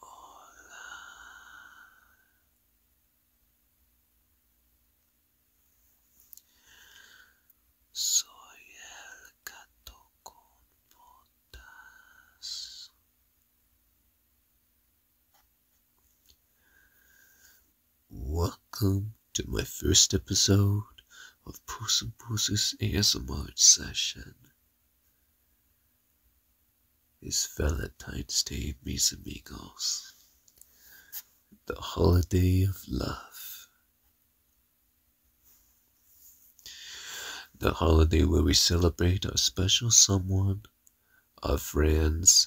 Hola. Soy el gato con Welcome to my first episode of Puss and Pussy's ASMR session. It's Valentine's Day, mis amigos. The holiday of love. The holiday where we celebrate our special someone, our friends,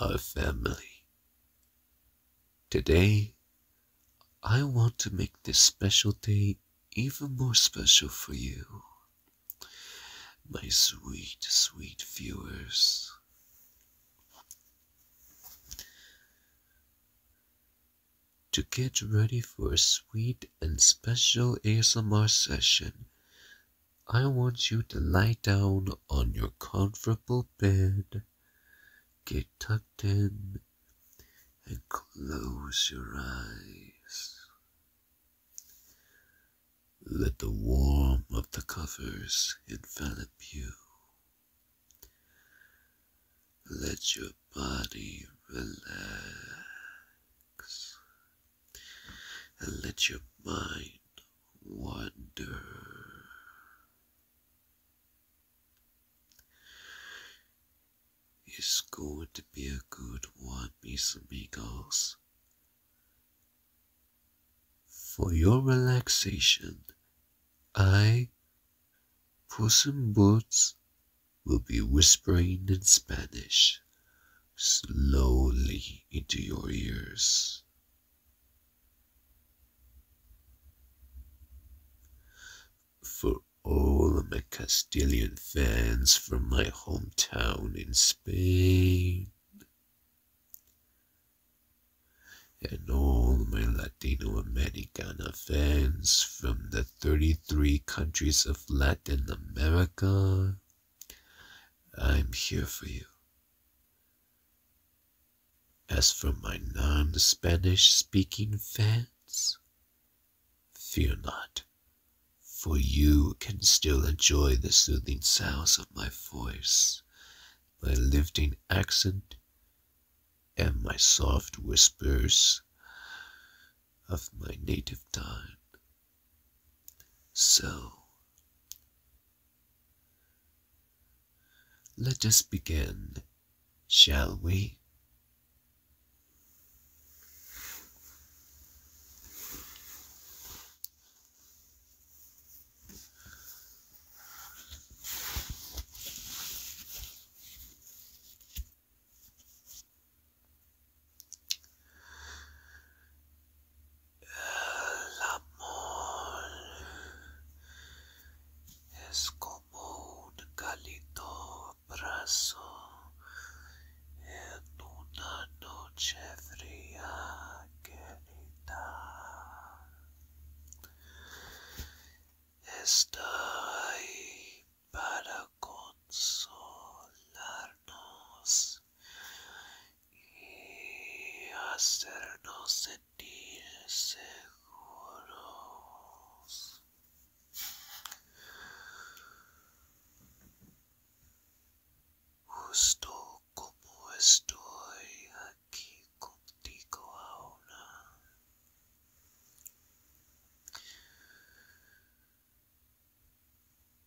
our family. Today, I want to make this special day even more special for you, my sweet, sweet viewers. To get ready for a sweet and special ASMR session, I want you to lie down on your comfortable bed, get tucked in, and close your eyes. Let the warmth of the covers envelop you. Let your body relax and let your mind wander. It's going to be a good one, mis amigos. For your relaxation, I, Puss in Boots, will be whispering in Spanish slowly into your ears. For all my Castilian fans from my hometown in Spain, and all my Latino Americana fans from the 33 countries of Latin America, I'm here for you. As for my non Spanish speaking fans, fear not, for you can still enjoy the soothing sounds of my voice, my lifting accent, and my soft whispers of my native tongue. So, let us begin, shall we? es como un cálido abrazo en una noche fría querida está ahí para consolarnos y hacernos sentir seguros. Justo como estoy aquí contigo ahora.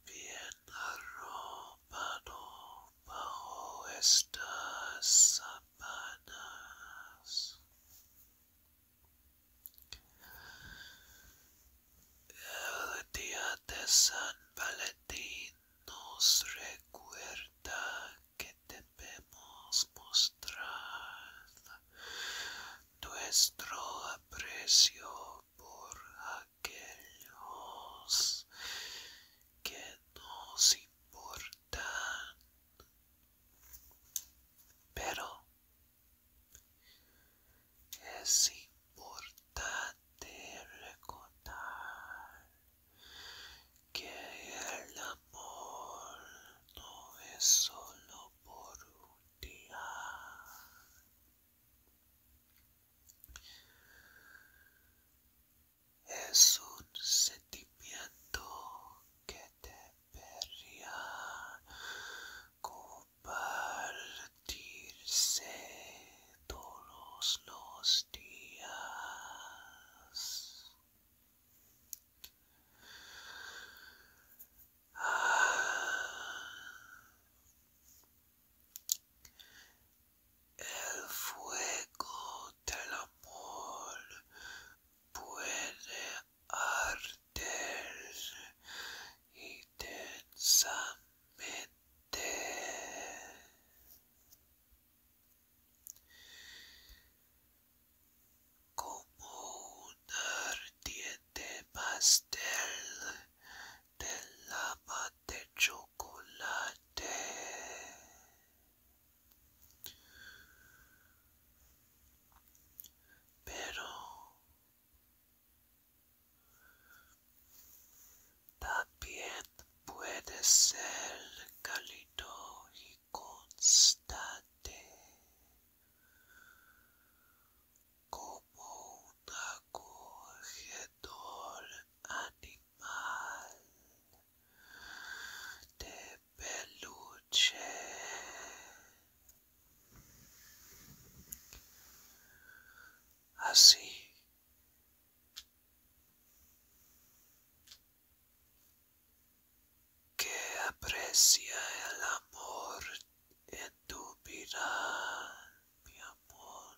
Bien arropado bajo estas El día de San Valentín nos recuerda que debemos mostrar nuestro aprecio por aquellos que nos importa, pero es importante recordar que el amor no es solo por un día es un sentimiento que te debería compartirse todos los días. Ah. El fuego del amor puede arder intensamente. Como un ardiente pastel de lava de chocolate. Pero también puede ser calido y constante como acogedor animal de peluche así que aprecia el amor en tu vida mi amor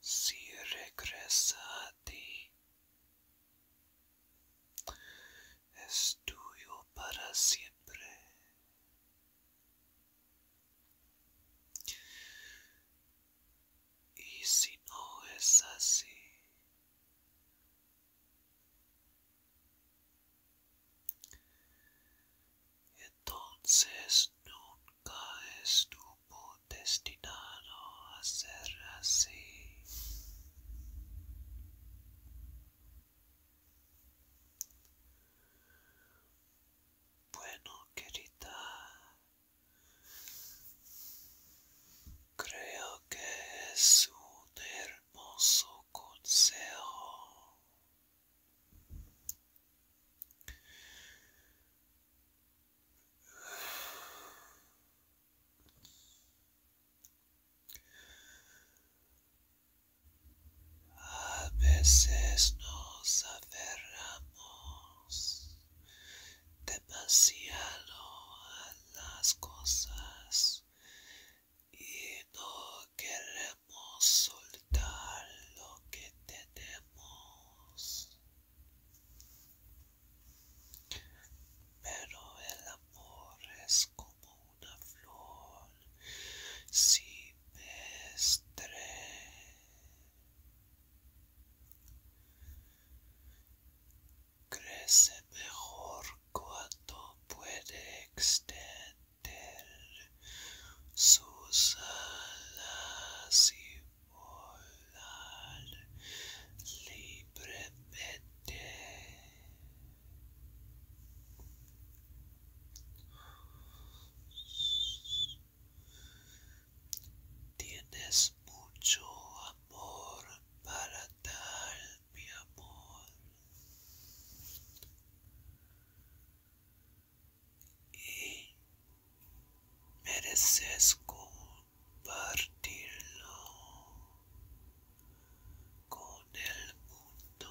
Si regresa a ti, es tuyo para siempre. Y si no es así, entonces nunca estuvo destinado a ser así. Bueno, querida, Creo que es un hermoso consejo. A veces nos aferramos demasiado a las cosas y no queremos soltar lo que tenemos. Pero el amor es como una flor estrés crece mejor cuando puede extender sus alas y volar libremente. Tienes mucho amor para tal, mi amor. Y mereces compartirlo con el mundo.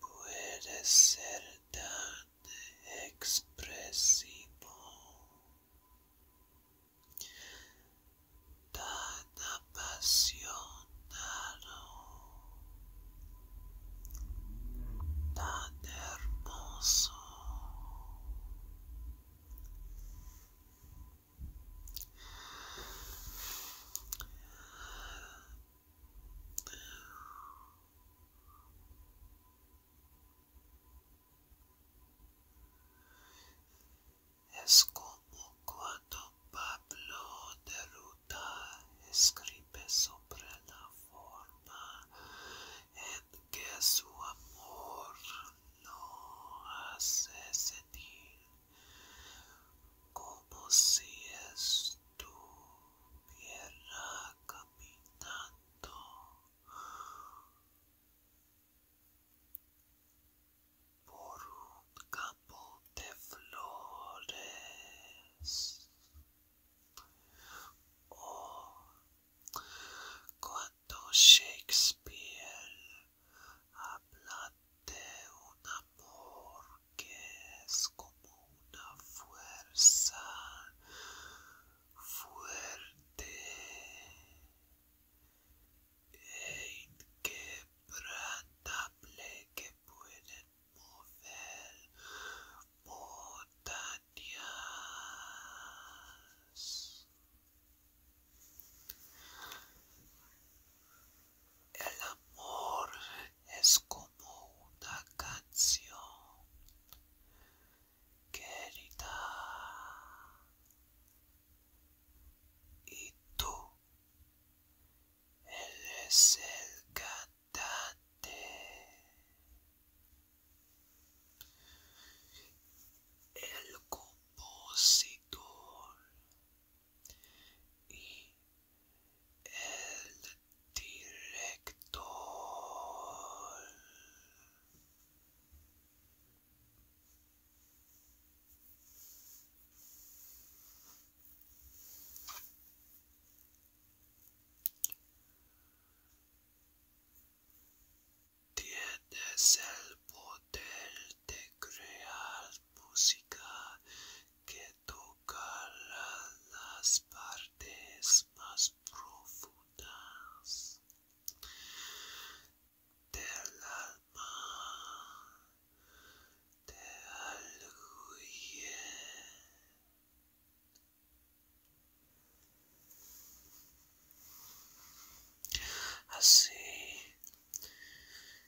puede ser tan expresivo, tan apasionado, tan hermoso. Es como cuando Pablo de Ruta escribe sobre la forma en que su amor lo hace sentir como si estuviera caminando. Por un campo de flores, oh, cuando Shakespeare hablan de un amor que es como una fuerza fuerte e inquebrantable que pueden mover montañas. El amor es como una canción querida y tú eres el cantante. El compositor y el director tiene el poder de crear música que toca las partes más profundas del alma de alguien. Así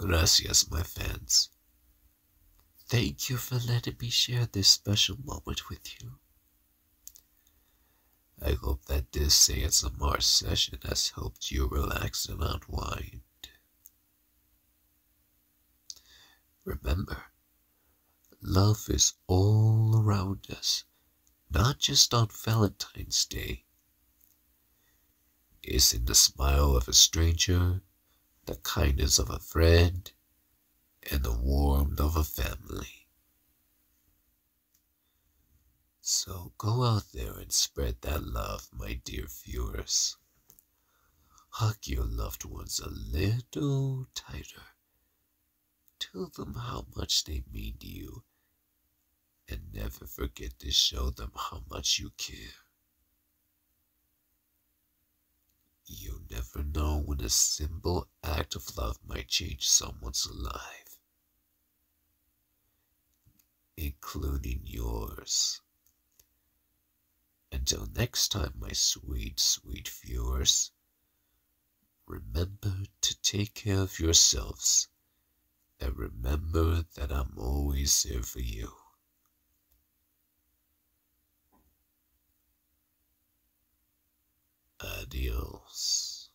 Gracias, my fans. Thank you for letting me share this special moment with you. I hope that this ASMR session has helped you relax and unwind. Remember, love is all around us, not just on Valentine's Day. It's in the smile of a stranger, the kindness of a friend, and the warmth of a family. So go out there and spread that love, my dear viewers. Hug your loved ones a little tighter. Tell them how much they mean to you. And never forget to show them how much you care. You never know when a simple act of love might change someone's life, including yours. Until next time, my sweet, sweet viewers, remember to take care of yourselves and remember that I'm always here for you. Adios.